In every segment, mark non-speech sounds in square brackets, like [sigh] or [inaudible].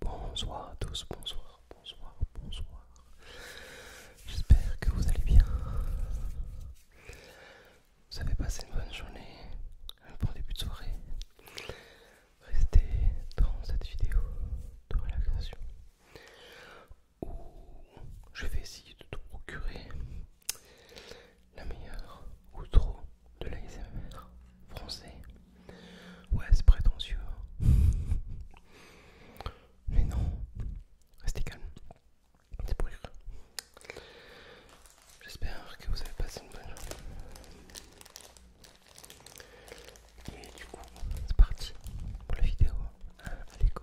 Bonsoir à tous, bonsoir, bonsoir, bonsoir. J'espère que vous allez bien. Vous avez passé une bonne journée, un bon début de soirée. Restez dans cette vidéo de relaxation où je vais essayer de te procurer la meilleure trop de l'ASMR français. Ouais, c'est prétentieux. Hein. [laughs] Mais non, restez calme. C'est pour J'espère que vous avez passé une bonne journée. Et du coup, c'est parti pour la vidéo. Hein. Allez, go.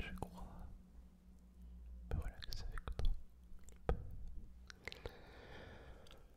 Je crois ben voilà ça avec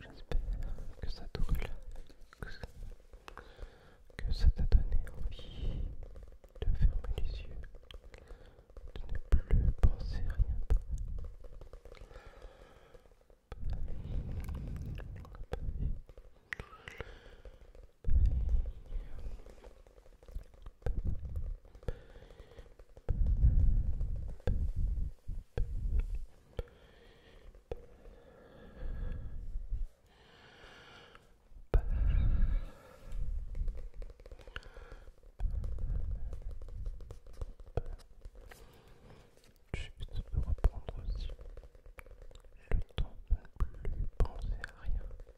J'espère que ça te que ça t'a donné envie de fermer les yeux, de ne plus penser à rien. Juste pour reprendre aussi le temps de ne plus penser à rien.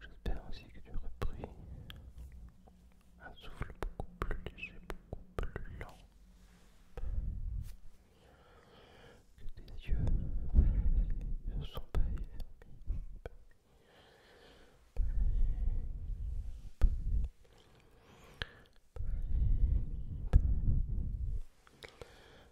J'espère aussi que tu aurais pris un souffle beaucoup plus léger, beaucoup plus lent. Que tes yeux ne sont pas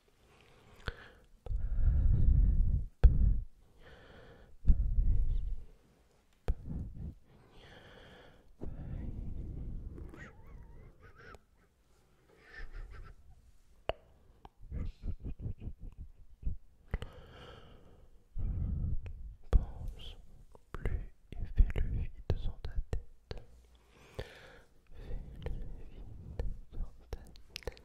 Pense plus et fais le vide sans ta tête. ta tête.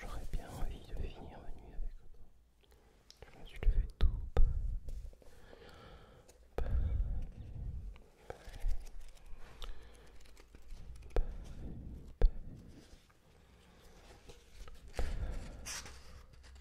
J'aurais bien envie de finir la nuit avec toi. Je me suis tout.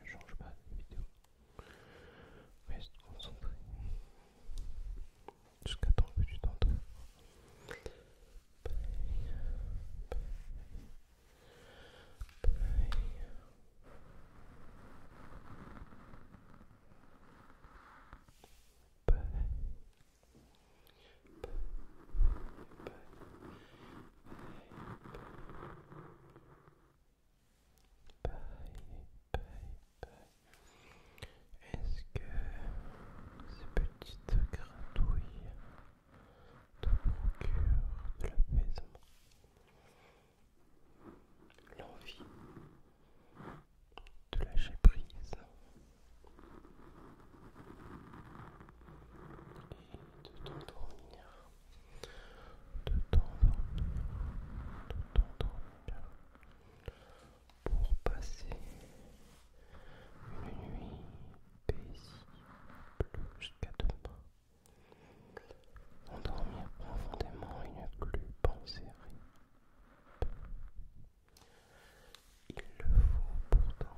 Ne change pas de vidéo. Reste concentré. Jusqu'à temps que tu t'endors. Est-ce que ces petites gratouilles te procurent de l'apaisement L'envie de lâcher prise et de t'endormir de temps de temps, pour passer une nuit paisible jusqu'à demain. Endormir profondément une ne plus penser Il le faut pourtant.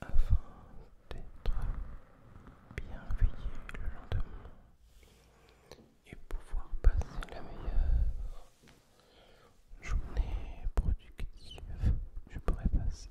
Afin d'être bien veillé le lendemain et pouvoir passer la meilleure journée productive, je pourrais passer.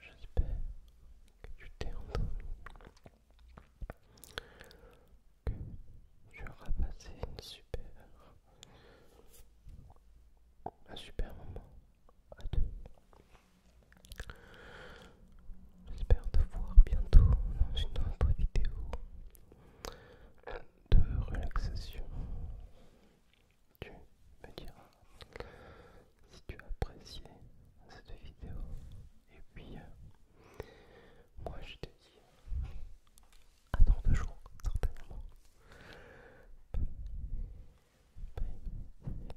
J'espère que tu t'es que tu auras passé une super, un super moment à deux. J'espère te voir bientôt dans une autre vidéo de relaxation. Tu me diras si tu as apprécié cette vidéo. Et puis, euh, moi je te dis à dans deux jours, certainement. Bye.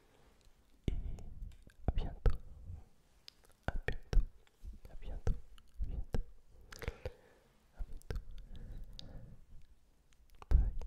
Et à bientôt. À bientôt. À bientôt. À bientôt. À bientôt. Bye.